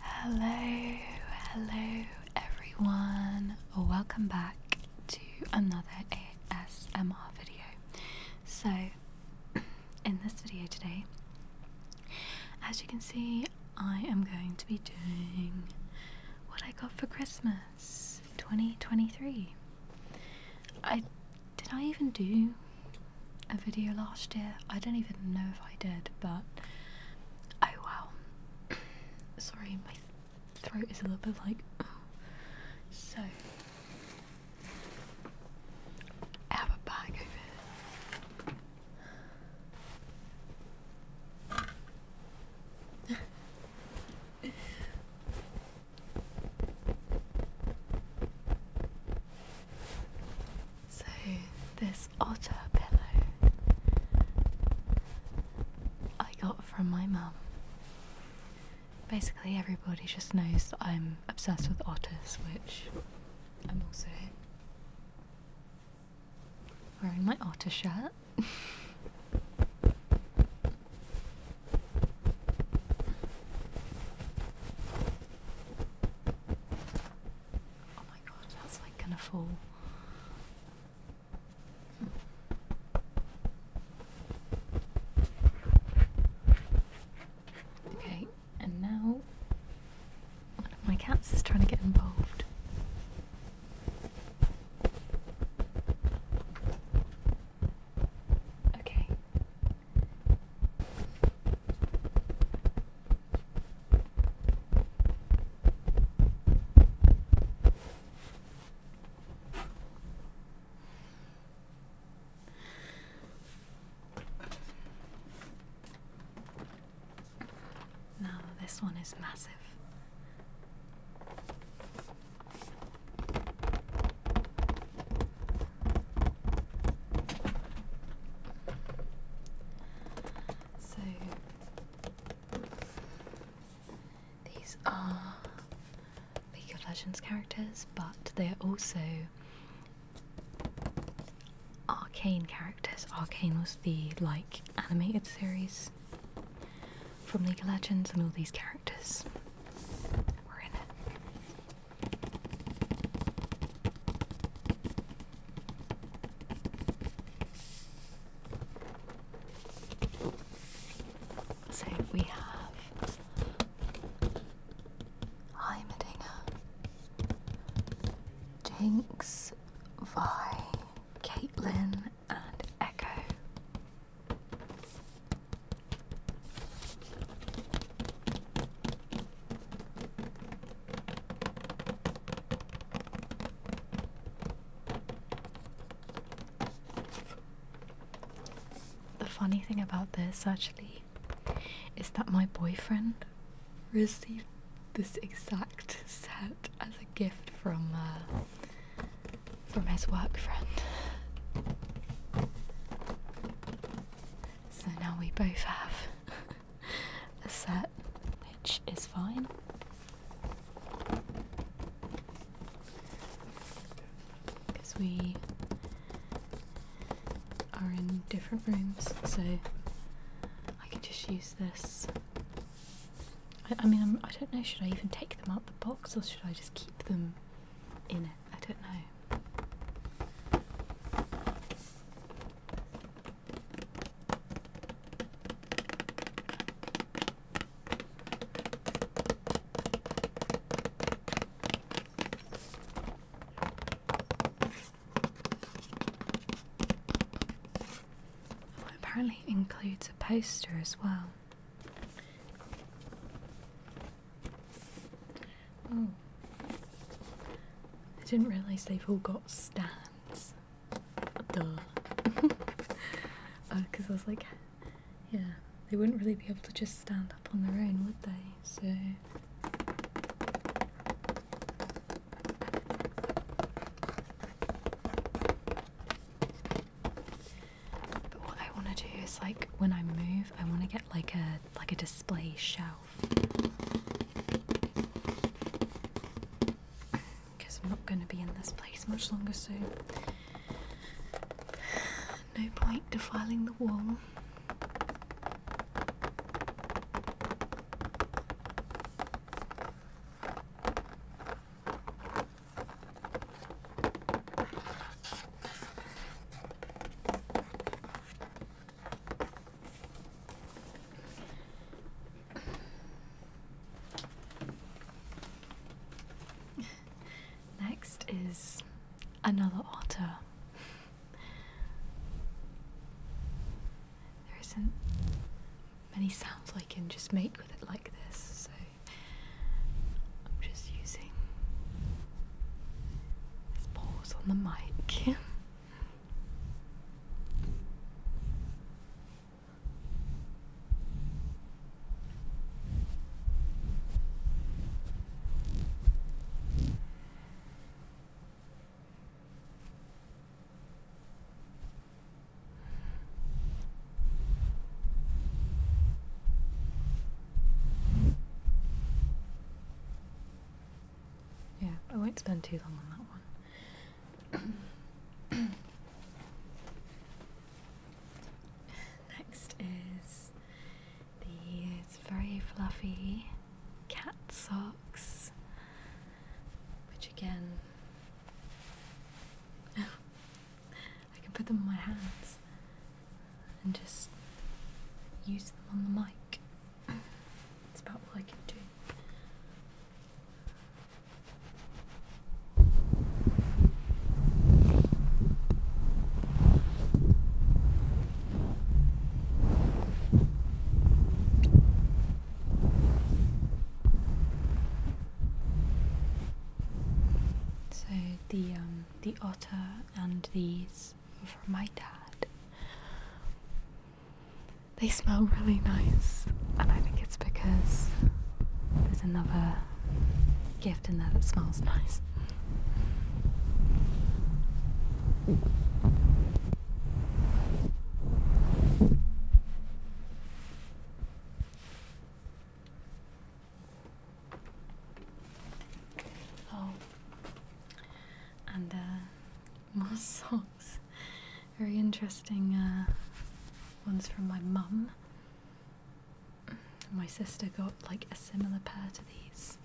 Hello, hello everyone. Welcome back to another ASMR video. So, in this video today, as you can see, I am going to be doing what I got for Christmas 2023. I did not even do a video last year. I don't even know if I did, but oh wow. Sorry, my throat is a little bit like. so, have a bag over so, this otter pillow I got from my mum. Basically, everybody just knows that I'm obsessed with otters, which I'm also wearing my otter shirt. Oh my god, that's like gonna fall. Okay, and now my cats is trying to get involved. Okay, now, this one is massive. So these are League of Legends characters, but they are also Arcane characters. Arcane was the like animated series from League of Legends, and all these characters were in it. So we have Heimerdinger, Jinx, Vi, Caitlin, and Echo. The funny thing about this actually is that my boyfriend received this exact set as a gift from uh, from his work friend. So now we both have a set, which is fine. Because we are in different rooms, so I can just use this. I, mean, I do not know, should I even take them out the box or should I just keep them in it? I don't know. apparently includes a poster as well. Oh. I didn't realise they've all got stands. Duh. Because oh, I was like, yeah, they wouldn't really be able to just stand up on their own, would they? So. But what I want to do is like when I move, I want to get like a like a display shelf. Because I'm not going to be in this place much longer, soon. no point defiling the wall. Next is another otter. There isn't many sounds I can just make with it like this, so I'm just using this pause on the mic. Yeah, I won't spend too long on that one. Next is these very fluffy cat socks, which again I can put them in my hands and just use them on the mic. It's about all I can do. So the um, the otter and these were from my dad. They smell really nice, and I think it's because there's another gift in there that smells nice. Oh, and uh, more socks. Very interesting uh, ones from my mum. My sister got like a similar pair to these.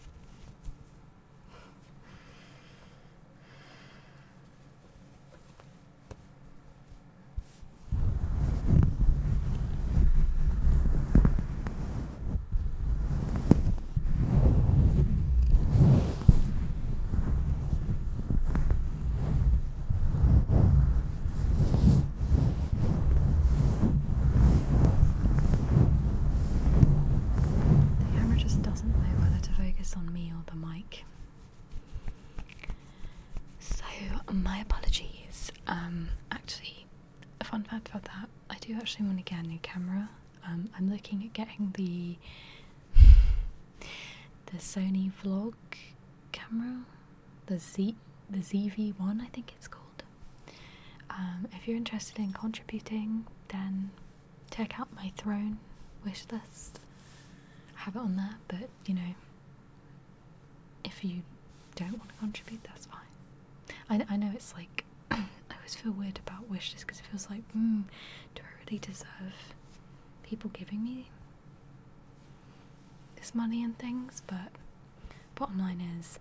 The camera just doesn't know whether to focus on me or the mic. So my apologies. Um, actually, a fun fact about that: I do actually want to get a new camera. Um, I'm looking at getting the the Sony vlog camera, the Z the ZV one, I think it's called. Um, if you're interested in contributing, then check out my Throne wish list. have it on there, but you know, if you don't want to contribute, that's fine. I, I know it's like, I always feel weird about wishes because it feels like, hmm, do I really deserve people giving me this money and things? But bottom line is,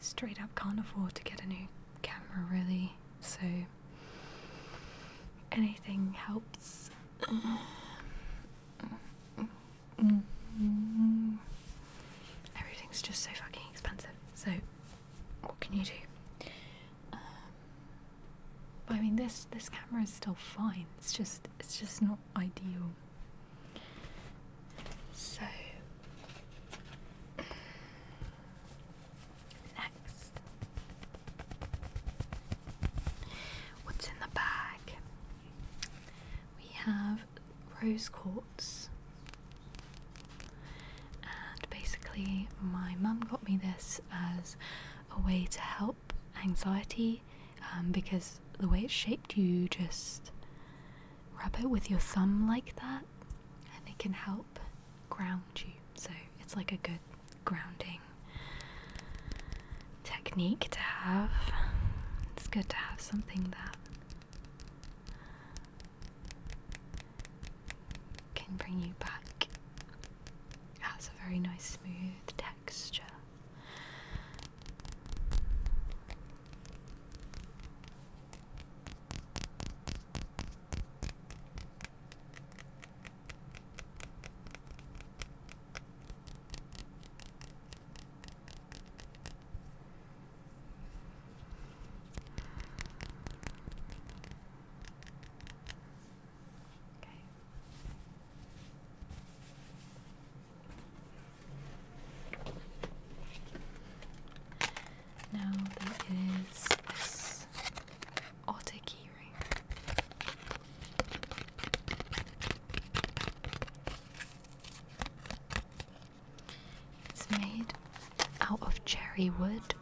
straight up can't afford to get a new camera really, so anything helps. Mm-hmm. Everything's just so fucking expensive. So, what can you do? Um, I mean, this this camera is still fine. It's just it's just not ideal. So next, what's in the bag? we have rose quartz, and basically, my mum got me this as a way to help anxiety um, because the way it's shaped, you just rub it with your thumb like that, and it can help ground you. So, it's like a good grounding technique to have. It's good to have something that can bring you back. Has a very nice, smooth texture. Okay. Now there is this it's made out of cherry wood.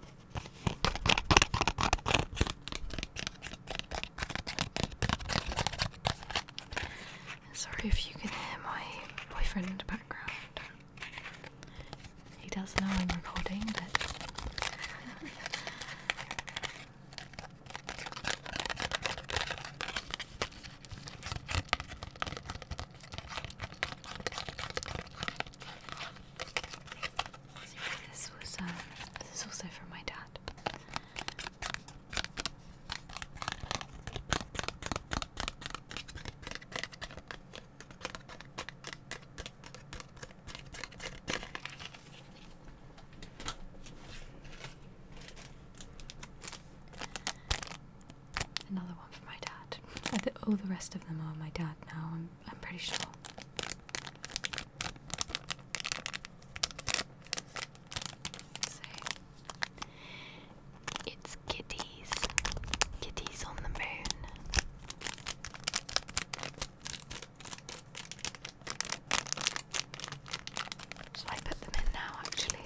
Sorry if you can hear my boyfriend in the background. He does know I'm recording, but This was um, this is also for my dad. Another one for my dad. I all the rest of them are my dad now, I'm, I'm pretty sure. it's kitties. Kitties on the moon. Shall I put them in now, actually?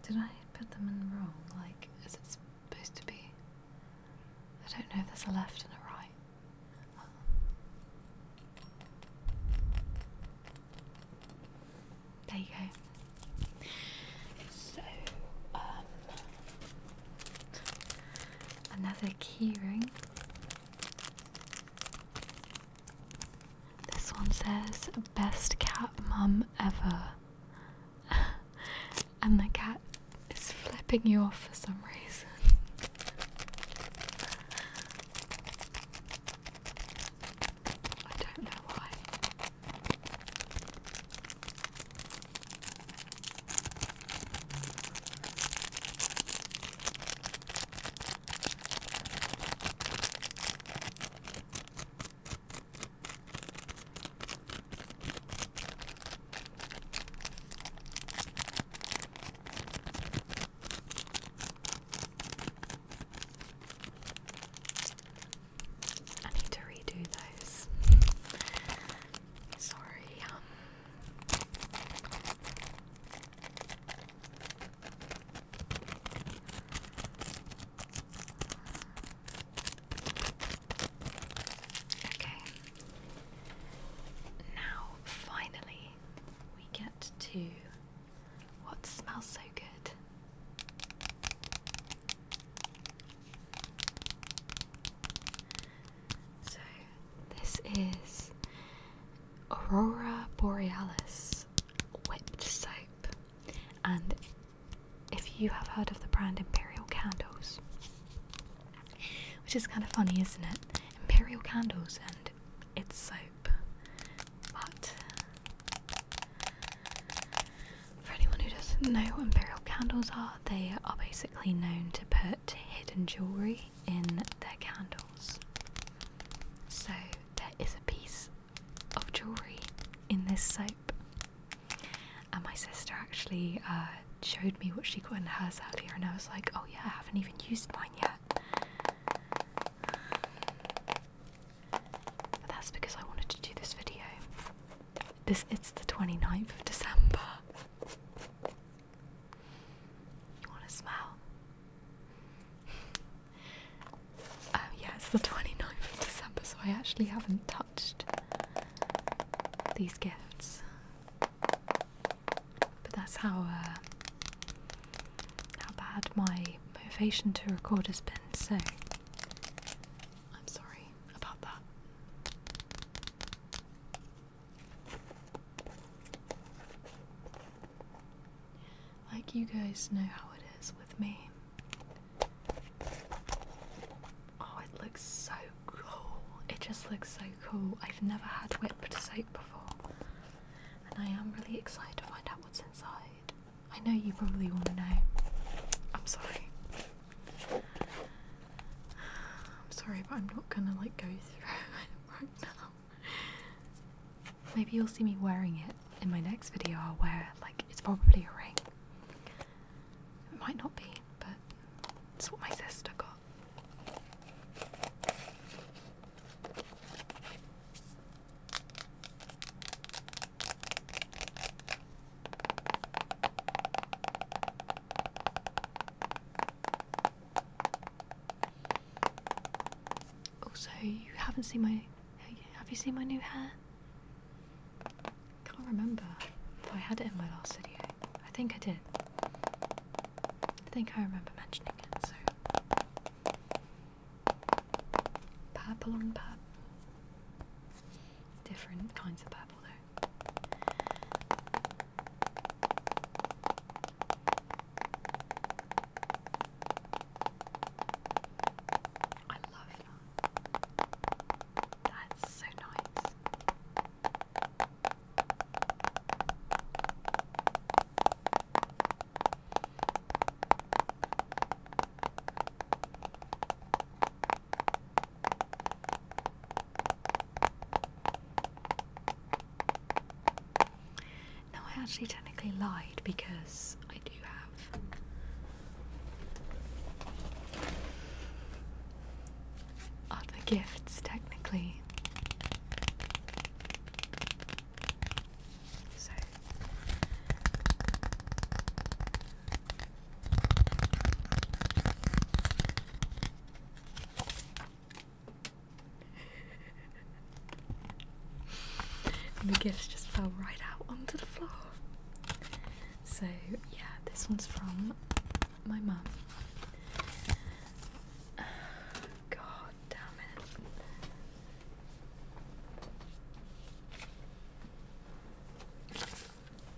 Did I put them in wrong? Like, is it supposed to be? I don't know if there's a left and a right. There you go. So, um, another keyring. This one says, Best cat mum ever. and the cat is flipping you off for some reason. I don't know why. I need to redo those. Sorry. Um, okay. Now, finally, we get to what smells so good. So, this is Aurora Borealis whipped soap, and if you have heard of the brand Imperial Candles, which is kind of funny, isn't it? Imperial candles and it's soap. But for anyone who doesn't know what imperial candles are, they are basically known to put hidden jewellery in their candles. So there is a piece of jewellery in this soap. And my sister actually uh, showed me what she got in hers earlier, and I was like, oh yeah, I haven't even used mine yet. But that's because I wanted to do this video. This it's the 29th of December. You want to smell? Oh yeah, it's the 29th of December, so I actually haven't touched these gifts. But that's how uh, how bad my motivation to record has been. So I'm sorry about that. Like you guys know how it is with me. Oh, it looks so it just looks so cool. I've never had whipped soap before. And I am really excited to find out what's inside. I know you probably want to know. I'm sorry. I'm sorry, but I'm not gonna like go through it right now. Maybe you'll see me wearing it in my next video. I'll wear like it's probably a ring. It might not be, but it's what my sister got. Also, you haven't seen my. Have you seen my new hair? Can't remember if I had it in my last video. I think I did. I think I remember mentioning it, so. Purple and purple. Different kinds of purple, though. I love that. That's so nice. Now, I actually technically lied because I do have are the gifts technically. So the gifts just fell right out onto the floor. So, yeah, this one's from my mom. God damn it.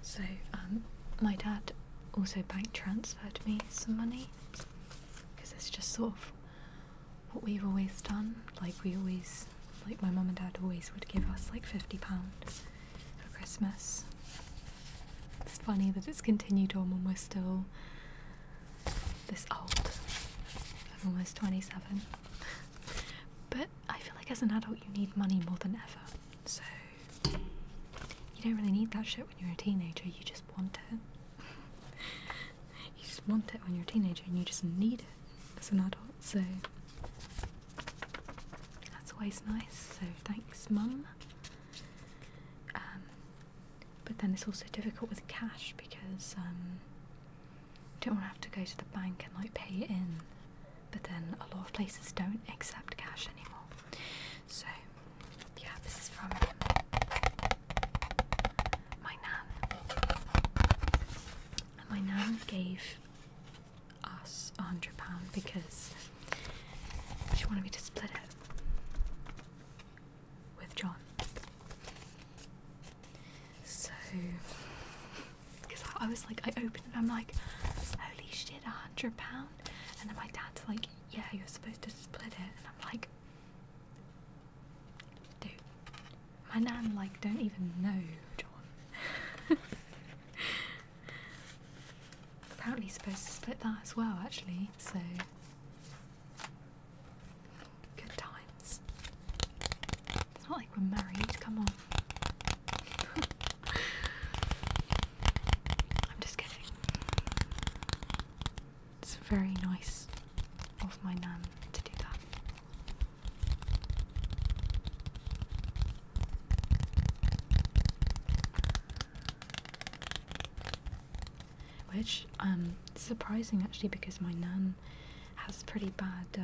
So, um, my dad also bank transferred me some money because it's just sort of what we've always done. Like, we always, like, my mum and dad always would give us like £50 for Christmas. It's funny that it's continued on when we're still this old. I'm almost 27. but I feel like as an adult you need money more than ever. So you don't really need that shit when you're a teenager, you just want it. you just want it when you're a teenager and you just need it as an adult. So that's always nice, so thanks, Mum. Um, but then it's also difficult with cash because um, you don't want to have to go to the bank and like pay in. But then a lot of places don't accept cash anymore. So yeah, this is from my nan. my nan gave us a hundred pound because she wanted me to split it with John. So, because I, was like, I opened it, I'm like, holy shit, a hundred pound, and then my dad's like, yeah, you're supposed to split it, and I'm like, dude, my nan like don't even know John. Apparently supposed to split that as well actually, so good times. It's not like we're married, come on. I'm just kidding. It's very nice of my nan to do that. Which um surprising actually because my nan has pretty bad uh,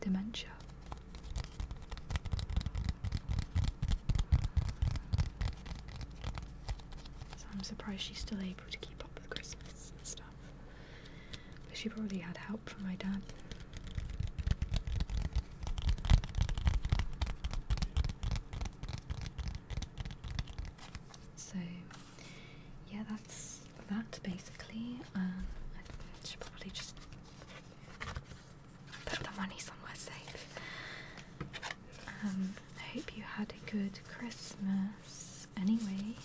dementia. So I'm surprised she's still able to keep up with Christmas and stuff she probably had help from my dad. So yeah, that's that basically. Um, I should probably just put the money somewhere safe. Um, I hope you had a good Christmas. Anyway,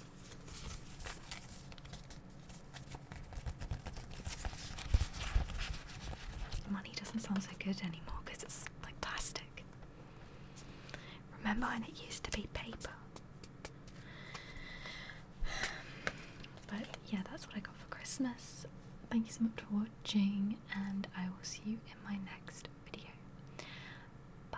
Money doesn't sound so good anymore because it's like plastic. Remember when it used to be paper? But yeah, that's what I got for Christmas. Thank you so much for watching, and I will see you in my next video. Bye.